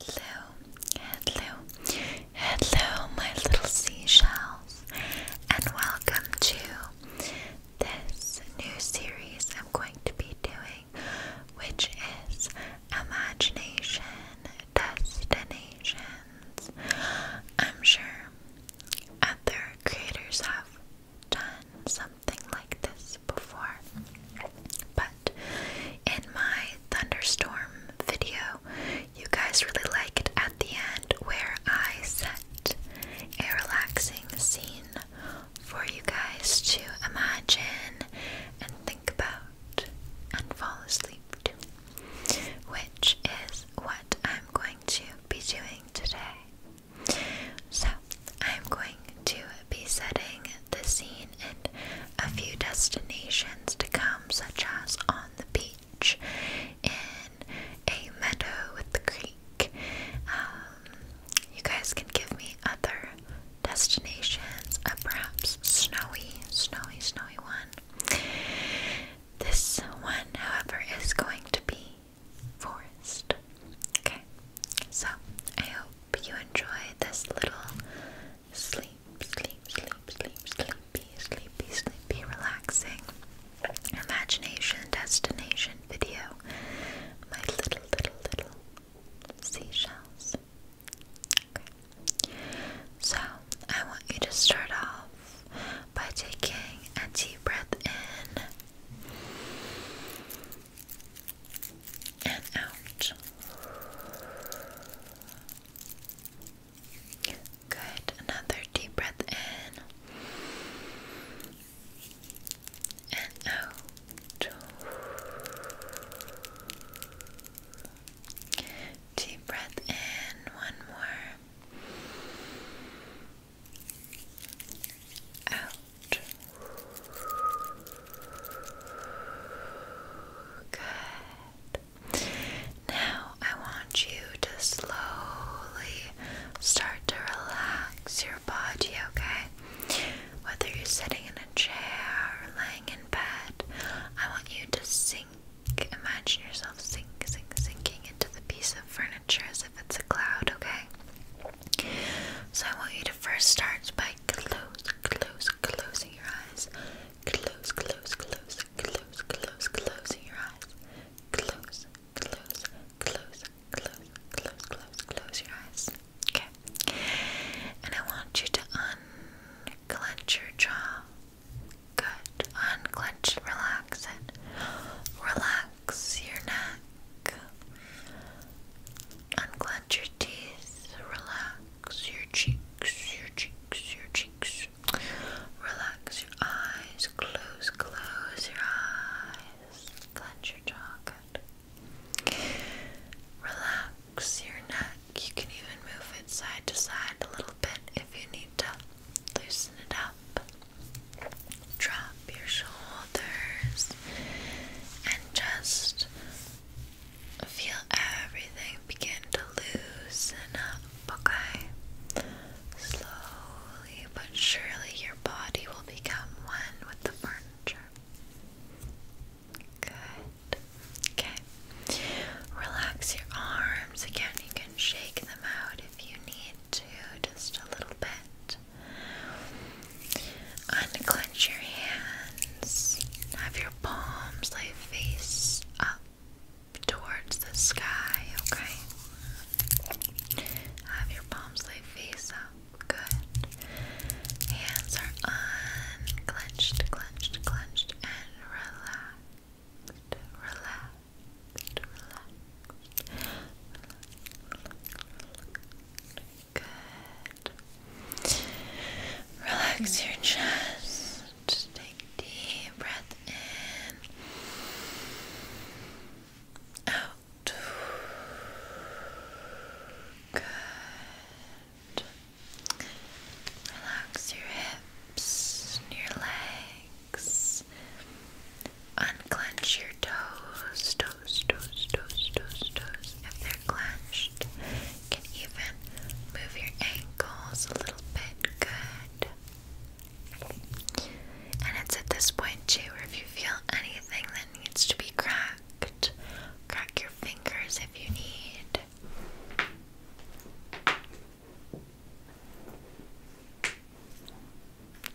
Hello, hello, hello, my little seashells, and welcome to this new series I'm going to be doing, which is Imagination Destinations. I'm sure other creators have done something like this before, but in my thunderstorm video. You guys really liked at the end where I set a relaxing scene for you guys to imagine and think about and fall asleep to, which is what I'm going to be doing today. So, I'm going to be setting the scene in a few destinations to come, such as on the beach, in a meadow with the creek. Um, you guys can give me other destinations, perhaps snowy, snowy, snowy one. This one, however, is going to be forest. Okay, so I hope hope you enjoy this little sleep, sleep, sleep, sleep, sleepy, sleepy, sleepy, relaxing imagination destination video. My little, little, little seashells. Okay. So, I want you to start off by taking a deep breath in and out. Good. Another deep breath in and out. Deep breath in, one more. Out. Good. Now I want you to slowly start to relax your body, okay? Whether you're sitting in a chair or laying in bed, I want you to sink. Imagine yourself sinking, sink, sinking into the piece of furniture as if it's a cloud, okay? So I want you to first start by close, close, closing your eyes. Close, close, close, close, close, closing your eyes. Close, close, close, close, close, close, close your eyes. Okay. And I want you to unclench your jaw. Good. Unclench, relax it. Relax your neck. Unclench your teeth, relax your cheeks, your cheeks, your cheeks. Relax your eyes, close, close your eyes. Clench your jaw, Relax your neck. You can even move it side to side a little bit if you need to loosen it up. Try your shoulders and just feel everything begin to loosen up, okay? Slowly but surely, your body will become one with the furniture. Good. Okay. Relax your arms again. You can shake them out if you need to, just a little bit. Unclench your hands. Have your palms lay face up towards the sky, okay? Have your palms lay face up. Good. Hands are unclenched, clenched, clenched, and relaxed. relaxed, relaxed, relaxed. Good. Relax your chest. take deep breath in. Out. Good. Relax your hips, and your legs, unclench your toes, toes, toes, toes, toes, toes. If they're clenched, can even move your ankles a little bit. Good. And it's at this point too where if you feel anything that needs to be cracked, crack your fingers if you need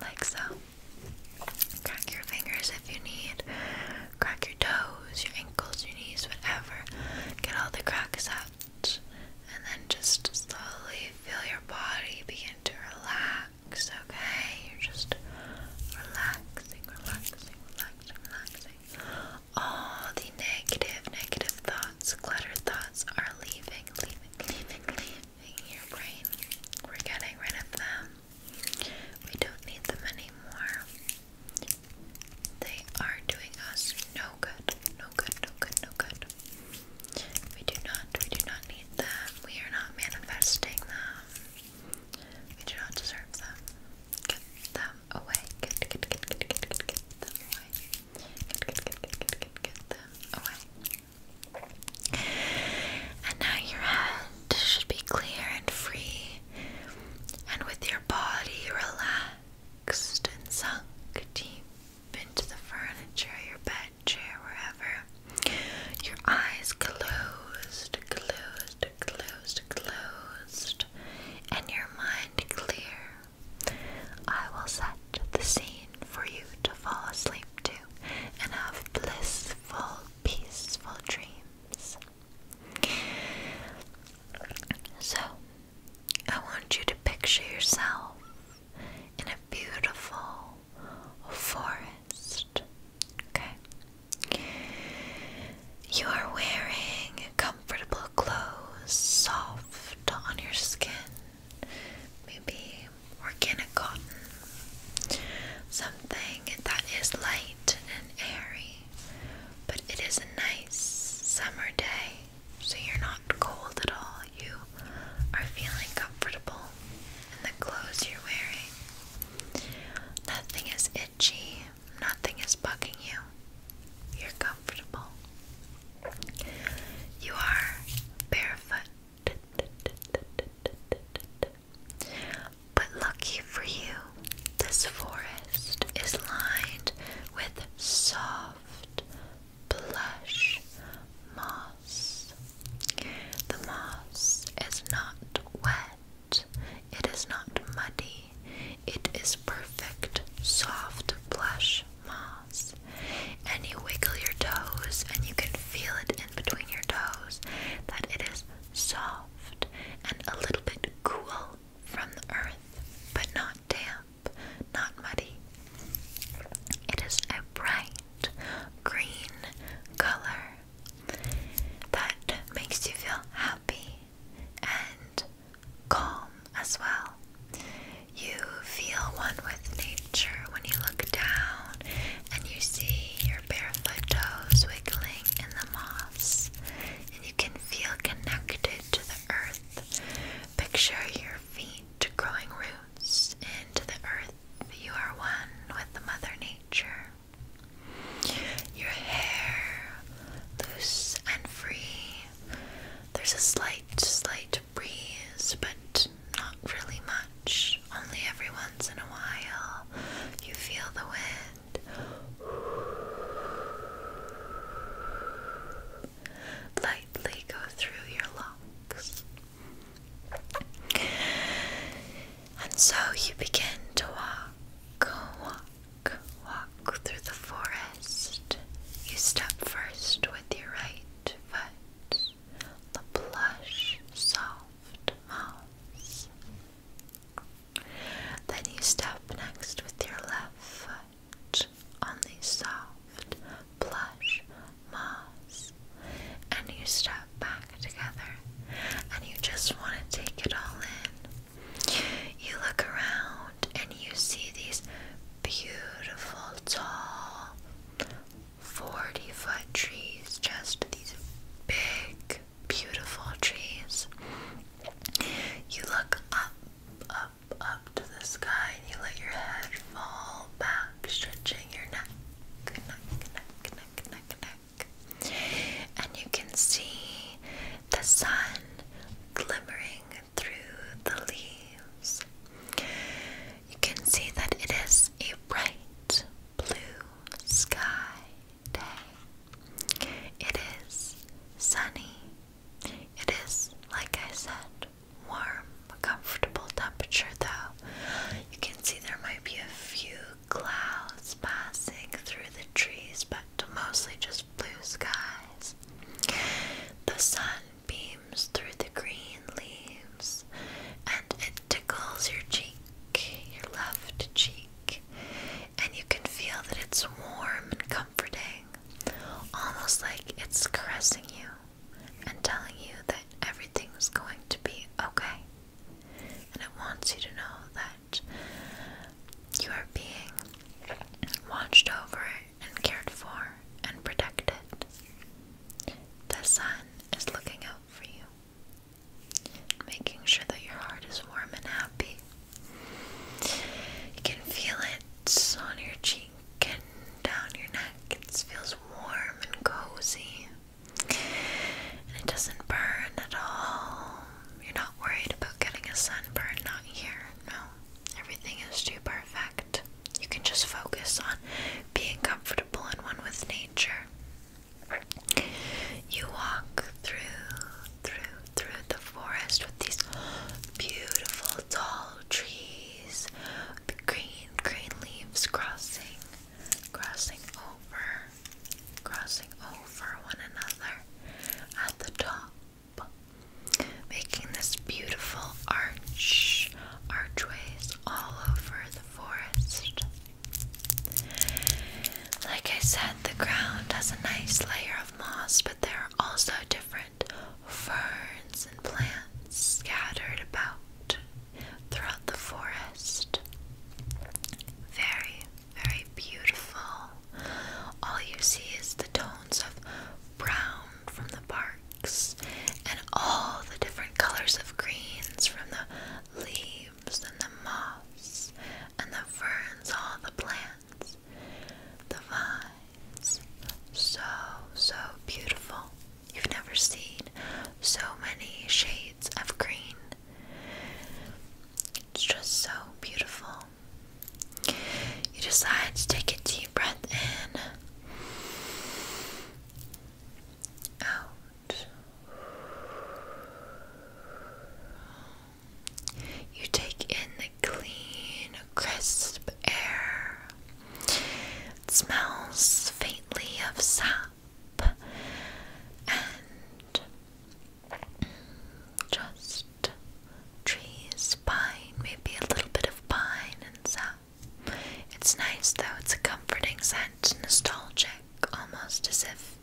like so. Crack your fingers if you need, crack your toes, your ankles, your knees, whatever. Get all the cracks out, and then just slowly feel your body begin to relax, okay? You're just relaxing, relaxing, relaxing, relaxing. All the negative, negative thoughts, cluttered thoughts are leaving, leaving, leaving, leaving your brain. We're getting rid of them. We don't need them anymore. They are doing us no good. No good, no good, no good. We do not, we do not need them. We are not manifesting them. We do not deserve them. Get them away. Get, get, get, get, get, get, get them away. Get, get, get, get, get, get, get them away. And now your head should be clear and free, and with your body relaxed and sunk deep into the furniture, your bed, chair, wherever. Your eyes closed, closed, closed, closed, and your mind clear. I will set the scene for you to fall asleep to and have blissful, peaceful dreams. So, I want you to picture yourself in a beautiful forest. Okay? You are wearing comfortable clothes, soft on your skin, maybe organic cotton, something that is light and airy, but it is a nice summer day, so you're not cold at all. You are feeling comfortable and the clothes you're wearing. Nothing is itchy, nothing is bugging you. You're comfortable. You are barefoot but lucky for you, this forest is lined with soft, plush moss. The moss is not wet, it is not muddy, it is perfect, soft, plush moss. And you wiggle your toes, and you can feel it in between your toes that it is soft and a little bit cool from the earth, but not damp, not muddy. It is a bright green color that makes you feel happy and calm as well. You feel one with nature when you look down and you see your barefoot toes wiggling in the moss, and you can feel connected to the earth. Picture your feet growing roots into the earth. You are one with Mother Nature. Your hair, loose and free. There's a slight, slight breeze, but not really much. Only every once in a while you feel the wind lightly go through your lungs. And so you begin to walk, walk, walk through the forest. You step first with your right foot the plush, soft mouse. Then you step next with your left foot on the soft, plush moss, and you step back together, and you just want to take it all in. You look around and you see these beautiful, tall, 40 foot trees, just these big, beautiful trees. You look up, up, up to the sky, and you let your head fall back, stretching your neck, neck, neck, neck, neck, neck. And you can see the sun glimmering through the leaves you can see that it is a bright blue sky day. It is sunny. It is, like I said, warm, comfortable temperature though. You can see there might be a few clouds passing through the trees, but mostly just blue skies. The sun beams through the green leaves, and it tickles your cheek, your left cheek, and you can feel that it's warm and comforting, almost like it's caressing you and telling you that everything's going to be okay. And it wants you to know that you are being watched over and cared for and protected. The sun is looking out for you, making sure that your heart is warm and happy. You can feel it on your cheek and down your neck. It feels warm and cozy. And it doesn't burn at all. You're not worried about getting a sunburn, not here, no. Everything is too perfect. You can just focus on being comfortable and one with nature. You walk through, through, through the forest with these beautiful tall trees, the green, green leaves crossing, crossing over, crossing over one another at the top making this beautiful arch, archways all over the forest. Like I said, the ground has a nice layer of moss, but there are also different ferns and plants scattered about throughout the forest. Very, very beautiful. All you see is the tones of brown from the parks and all the different colors of greens from the leaves and the moss and the ferns, all the plants, the vines. So, so beautiful. You've never seen so many shades of green. It's just so beautiful. You decide to take a deep breath in, out. You take in the clean, crisp air. smells faintly of sap and just trees, pine, maybe a little bit of pine and some. It's nice though, it's a comforting scent, nostalgic, almost as if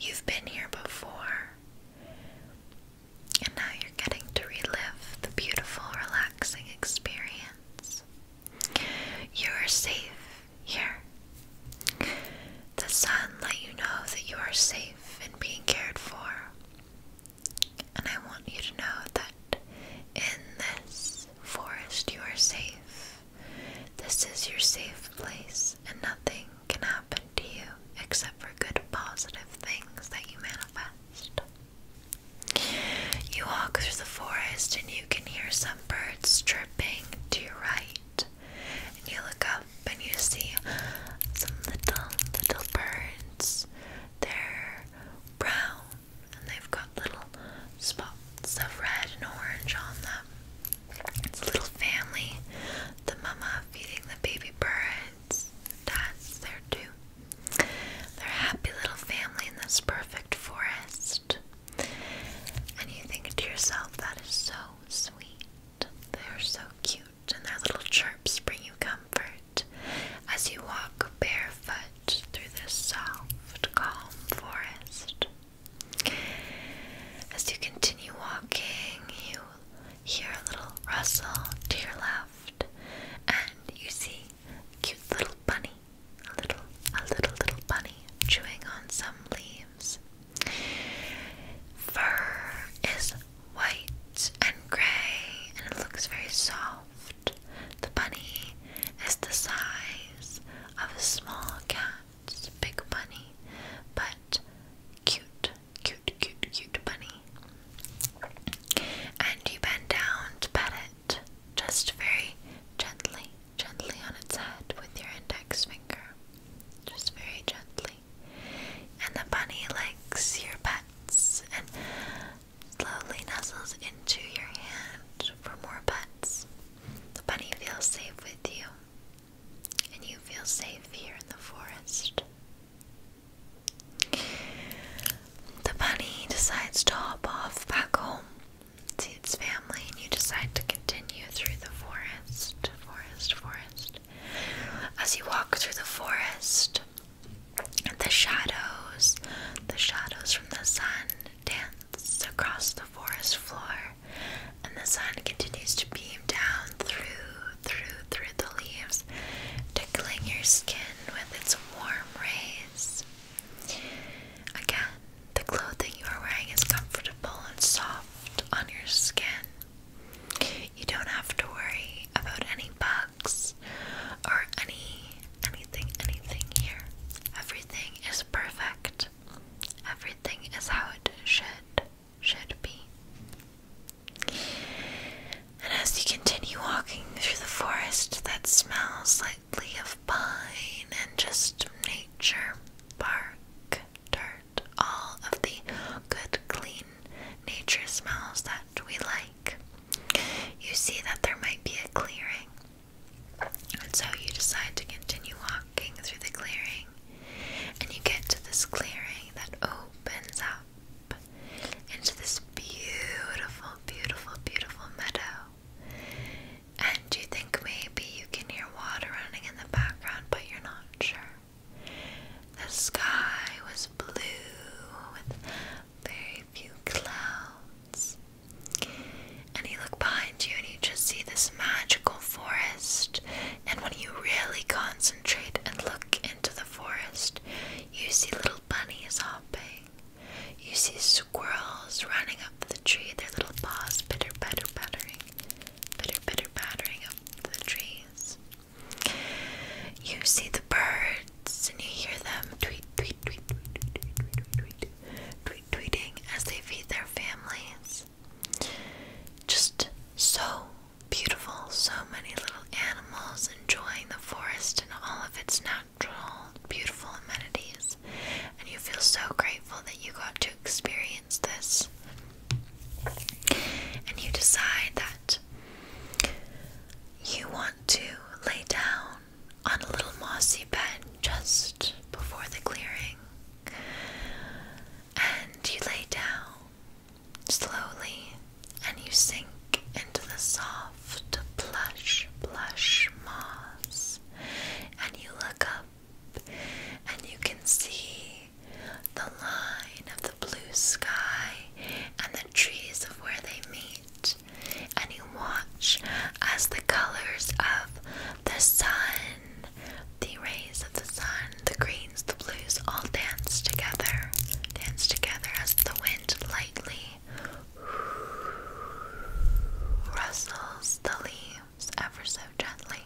you've been here before. And now you're getting to relive the beautiful, relaxing experience. You are safe here. The sun let you know that you are safe and being cared for. And I want you to know that in this forest you are safe. This is your safe place, and nothing can happen to you except for good, positive things that you manifest. You walk through the forest and you can hear some birds chirping to your right. And you look up and you see some little little birds. They're brown and they've got little spots of red and orange on them. It's a little family. The mama feeding the baby birds. Dad's there too. They're a happy little family in this perfect forest. And you think to yourself, that is so sweet. They are so cute and their little chirps bring you comfort as you walk barefoot through this soft, calm forest. As you continue walking, you hear a little rustle to your left, and you see a cute little bunny, a little, a little, little bunny chewing on some leaves. Fur is white and grey, and it looks very soft. The bunny is the size of a small cat's big bunny, but cute, cute, cute, cute bunny. And you bend down to pet it just very gently, gently on its head with your index finger. Just very gently. And the bunny likes your pets and slowly nuzzles into your hand for more pets. The bunny feels safe with you, and you feel safe here in the forest. The bunny decides to hop off back home to its family, and you decide to continue through the forest, forest, forest. As you walk through the forest, the shadows, the shadows from the sun dance across the forest floor, and the sun continues to beam down through, through, through the leaves, tickling your skin with its warm rays. Again, the clothing you are wearing is comfortable and soft on your skin. You don't have to worry about any bugs or any anything anything here. Everything is perfect. Everything is how it should should be. And as you continue walking through the forest that smells lightly of pine and just nature, bark, dirt, all of the good, clean nature smells that we like. You see that there might be a clearing, and so you decide to continue walking through the clearing, and you get to this clearing that opens up into this beautiful, beautiful, beautiful meadow. And you think maybe you can hear water running in the background, but you're not sure. The sky was blue with very few clouds. And you look behind you and you just see this magical forest. And when you really concentrate and look into the forest, you see little bunnies hopping. You see squirrels running up the tree, their little paws pitter patter pattering, pitter pitter pattering the trees. You see the birds and you hear them tweet, tweet, tweet, tweet, tweet, tweet, tweet, tweet, tweet tweeting as they feed their families. Just so beautiful, so many little animals enjoying the forest and all of its natural, beautiful amenities. And you feel so grateful that you got to experience this and you decide that you want to lay down on a little mossy bed just before the clearing, and you lay down slowly and you sink into the soft, plush, plush moss, and you look up. And you can see the line of the blue sky and the trees of where they meet, and you watch as the colors of the sun, the rays of the sun, the greens, the blues all dance together, dance together as the wind lightly rustles the leaves ever so gently.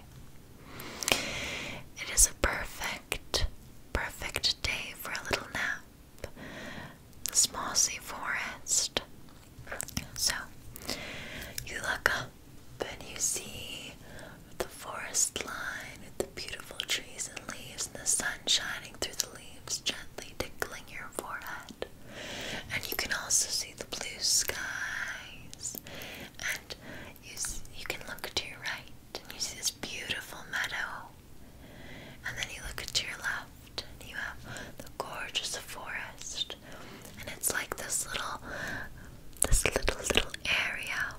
It is a perfect, perfect day for a little nap. The mossy forest. So, you look up and you see the forest line with the beautiful trees and leaves and the sun shining through the leaves gently tickling your forehead. And you can also see the blue skies you, you can look to your right and you see this beautiful meadow. And then you look to your left and you have the gorgeous forest. And it's like this little, this little, little area.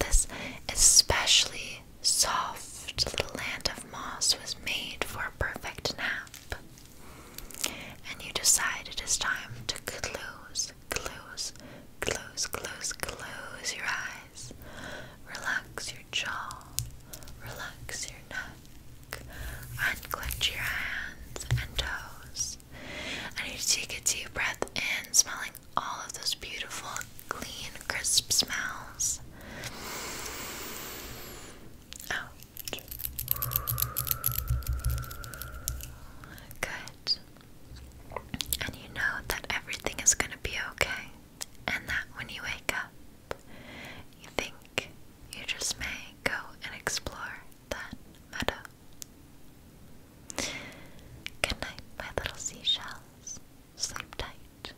This especially soft little land of moss was made for a perfect nap. And you decide it is time to close, close, close, close, close your eyes. Relax your jaw, relax your neck, and clench your hands and toes. And you take a deep breath in, smelling all of those beautiful, clean, crisp smells. Out. Good. And you know that everything is going to be okay. And that when you wake up, you think you just may go and explore that meadow. Good night, my little seashells. Sleep tight.